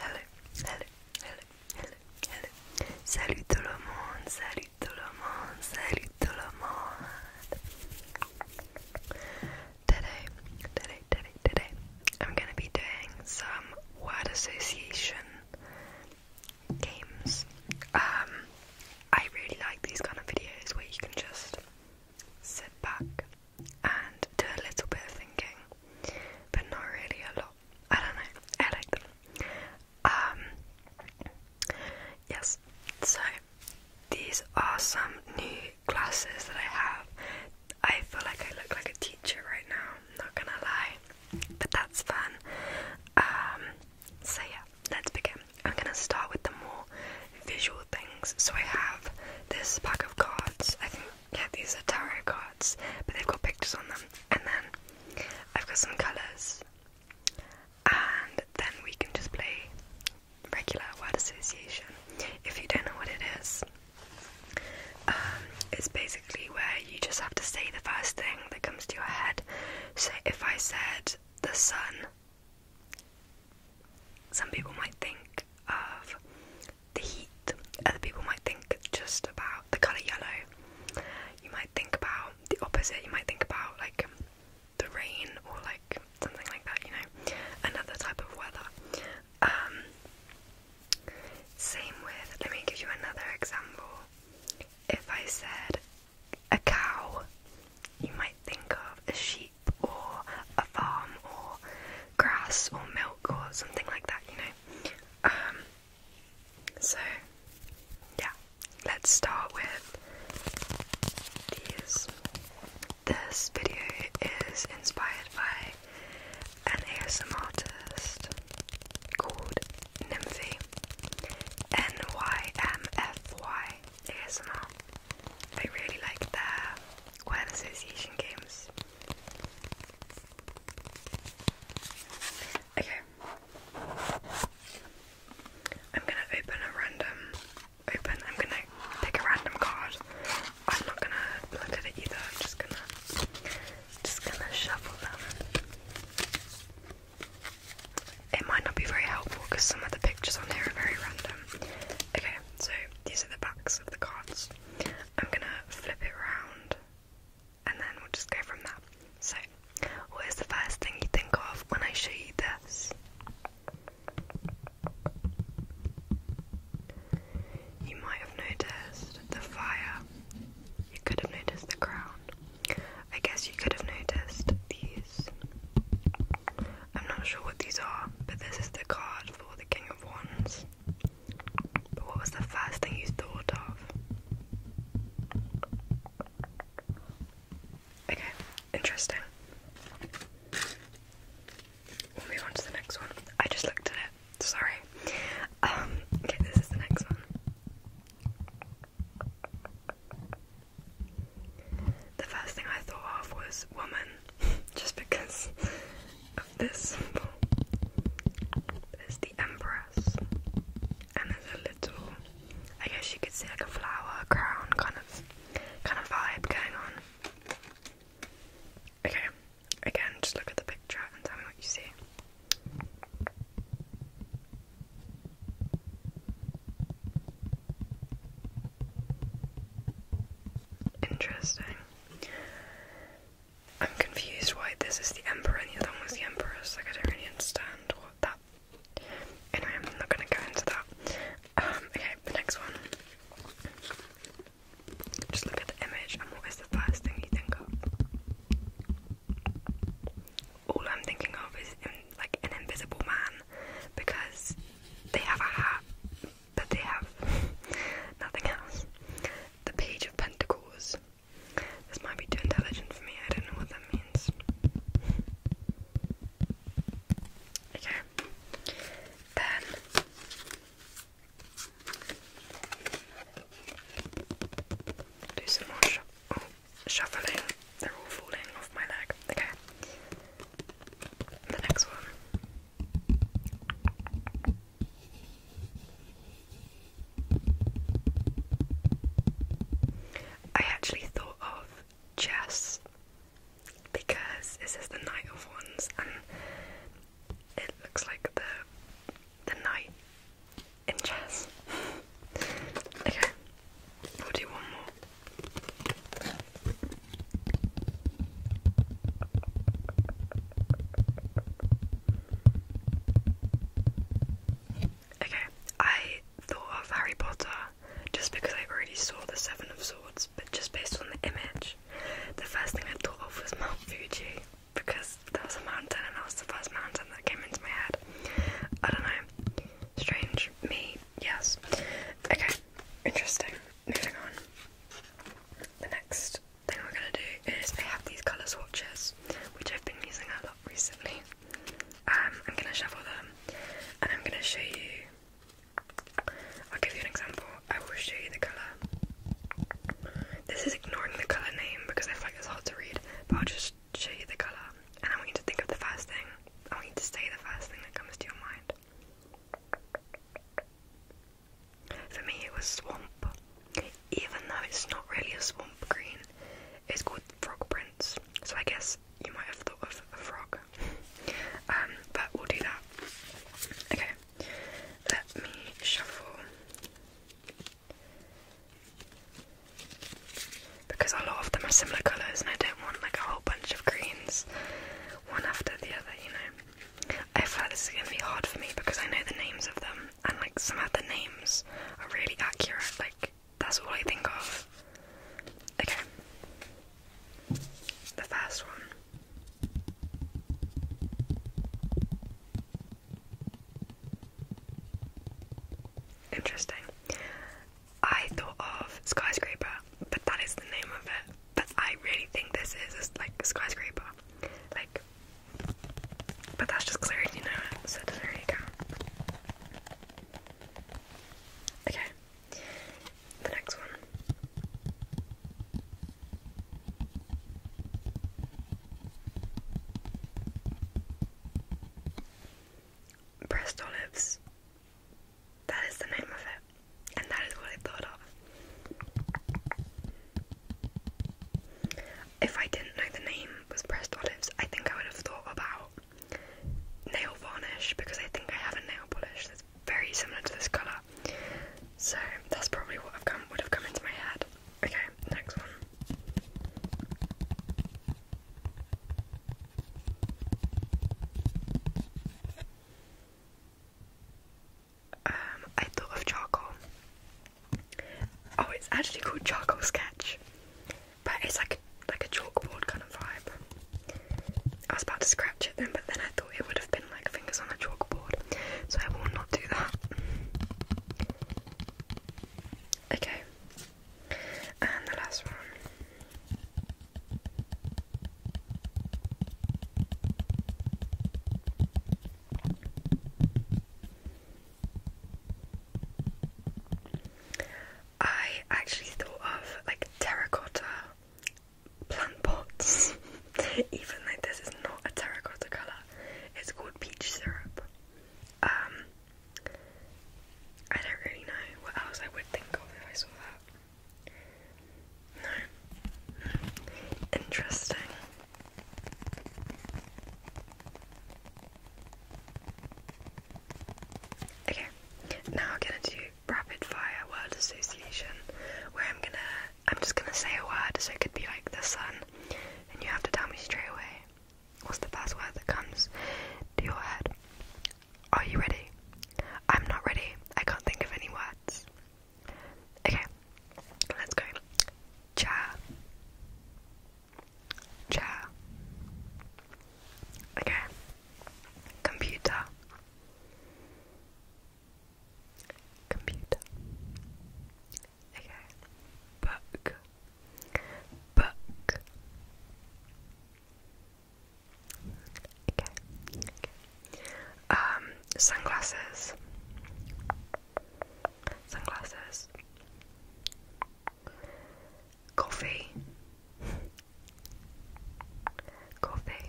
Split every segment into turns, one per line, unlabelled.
Hello, hello, hello, hello, hello. Salut tout le monde, salut tout le monde, salut tout le monde. Today, today, today, today, I'm gonna be doing some word association games. Um, I really like these kind of videos where you can just sit back and do a little bit of thinking, but not really a lot. I don't know. I like them. Um, yes. So these are some new classes that I have. I feel like I look like a teacher right now. Not gonna lie, but that's fun. Um, so yeah, let's begin. I'm gonna start with the more visual things. So I have this pack of cards. I think yeah, these are tarot cards, but they've got pictures on them. And then I've got some colours, and then we can just play regular word association. If you don't know what it is, um, it's basically where you just have to say the first thing that comes to your head. So if I said the sun, some people might think of the heat, other people might think just about the colour yellow. You might think about the opposite, you might think about like the rain or like something like that, you know, another type of weather. Um, same with, let me give you another example. If I said a cow, you might think of a sheep or a farm or grass or milk or something like that, you know. Um, so, yeah, let's start with these. This video is inspired by an ASM artist called Nymphy. N Y M F Y ASMR. I really like the word association games. Okay. I'm gonna open a random open I'm gonna pick a random card. I'm not gonna look at it either, I'm just gonna just gonna shuffle them. It might not be very helpful because some of the pictures on here are very random. Okay, so these are the backs of the cards. I'm gonna flip it around and then we'll just go from there. So, what is the first thing you think of when I show you this? You might have noticed the fire. You could have noticed the crown. I guess you could have noticed these I'm not sure what these are, but this is the card for the King of Wands. But what was the first thing you thought of? Okay, interesting. move on to the next one. I just looked at it, sorry. Um, okay, this is the next one. The first thing I thought of was woman, just because of this symbol. There's the empress, and there's a little, I guess you could say, like a flower crown kind of, kind of vibe going on. Okay, again, just look at the picture and tell me what you see. Interesting. I'm confused why this is the Emperor and the other one was the Empress. Like, I don't really understand what that. Anyway, I'm not gonna go into that. Um, okay, the next one. Just look at the image, what is the first thing you think of? All I'm thinking of is like an invisible man because they have a hat, but they have nothing else. The Page of Pentacles. This might be too intelligent for me, I don't know what that means. Okay. Then do some more oh, shuffling. They're all falling off my leg. Okay. The next one. I actually thought of chess because this is the Knight of Wands and it looks like the the knight in chess. okay, we'll do more. Okay, I thought of Harry Potter just because I already saw the Seven of Swords, but just based on the image, the first thing I thought of was Mount Fuji because there was a mountain and that was the first mountain that came into my head. I don't know, strange me, Yes. Okay, interesting. Moving on. The next thing we're going to do is I have these colour swatches, which I've been using a lot recently. Um, I'm going to shuffle them and I'm going to show you. I'll give you an example. I will show you the colour. This is ignoring the colour name because I find like it's hard to read, but I'll just show you the colour, and I want you to think of the first thing. I want you to say the first thing that comes to your mind. For me, it was swamp. Even though it's not really a swamp green, it's called frog prints. So I guess you might have thought of a frog. um, but we'll do that. Okay, let me shuffle because a lot of them are similar colours and I don't want like a whole bunch of greens one after the other, you know. I feel like this is gonna be hard for me because I know the names of them and like some of the names are really accurate, like that's all I think of. Okay. The first one. Interesting. I thought of skyscraper, but that is the name of it. But I really think this is a, like skyscraper, like. But that's just clear, you know so there you go. Okay, the next one pressed olives. That is the name of it, and that is what I thought of. If I didn't know the name was pressed olives, I think I would have thought about nail varnish because I think I have a nail polish that's very similar to this colour. So that's probably what I've come would have come into my head. Okay, next one. Um, I thought of charcoal. Oh, it's actually called charcoal sketch, but it's like like a chalkboard kind of vibe. I was about to scratch it then, but then I thought it would have been like fingers on a chalkboard, so I will not do that. Okay, and the last one. I actually thought of like terracotta plant pots, even though this is not a terracotta colour. It's called peach syrup. Um, I don't really know what else I would think of if I saw that. No. Interesting. Okay, now I'm gonna do rapid fire word association where I'm gonna I'm just gonna say a word so it could be like the sun and you have to tell me straight away What's the first word that comes to your head? Are you ready? I'm not ready. I can't think of any words. Okay, let's go. Chair. Chair. Okay. Computer. Computer. Okay. Book. Book. Okay. Um, sunglasses. Sunglasses. Coffee. Coffee.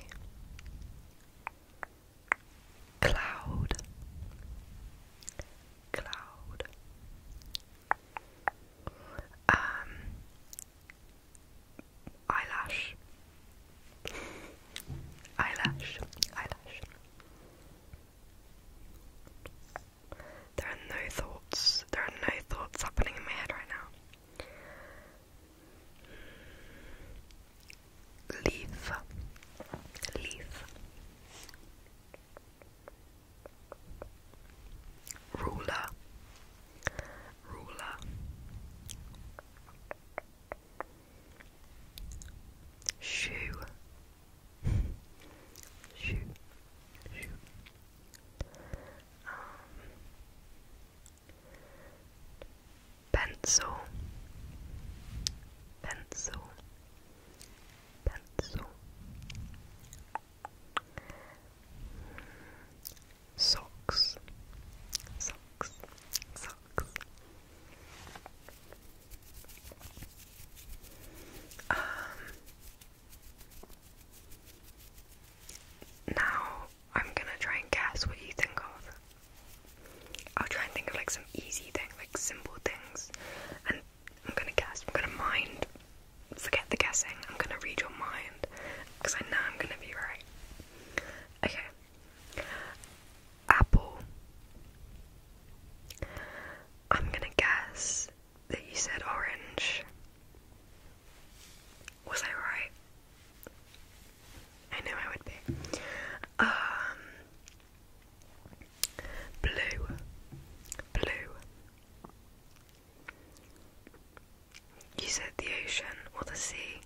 Cloud cloud. Um, eyelash, eyelash, eyelash. There are no thoughts, there are no thoughts happening in my head right now. Leaf, leaf, ruler ruler shoe shoe shoe um, pencil pencil Pencil. Socks. Socks. Socks. Um, now I'm gonna try and guess what you think of. I'll try and think of like some easy thing, like simple things, and I'm gonna guess. I'm gonna mind. Forget the guessing. I'm gonna read your mind because I know I'm gonna be right. Okay. Apple. I'm gonna guess that you said orange. Was I right? I knew I would be. Um, Blue, blue. You said the ocean or the sea.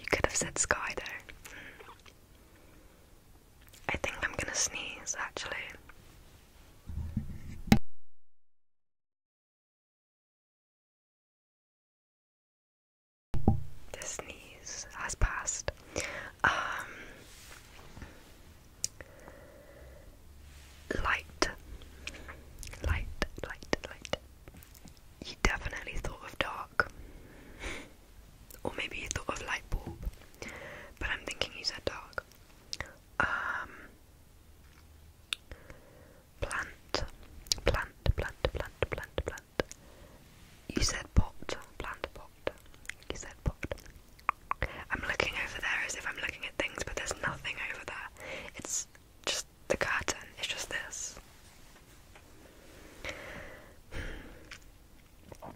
You could have said sky though. I think I'm gonna sneeze actually. The sneeze has passed. Um, light, light, light, light. You definitely thought of dark, or maybe you thought of light bulb, but I'm thinking you said dark. Um, plant, plant, plant, plant, plant, plant. You said pot. Plant pot. You said pot. I'm looking over there as if I'm looking at things, but there's nothing over there. It's just the curtain. It's just this. Hmm.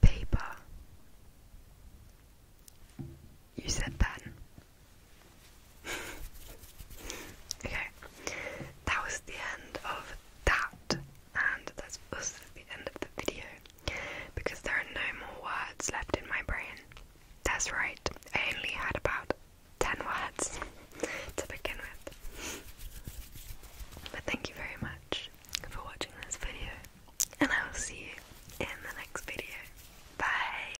Paper. You said pen okay, that was the end of that, and that's also the end of the video because there are no more words left in my brain. That's right, I only had about 10 words to begin with. But thank you very much for watching this video, and I will see you in the next video. Bye!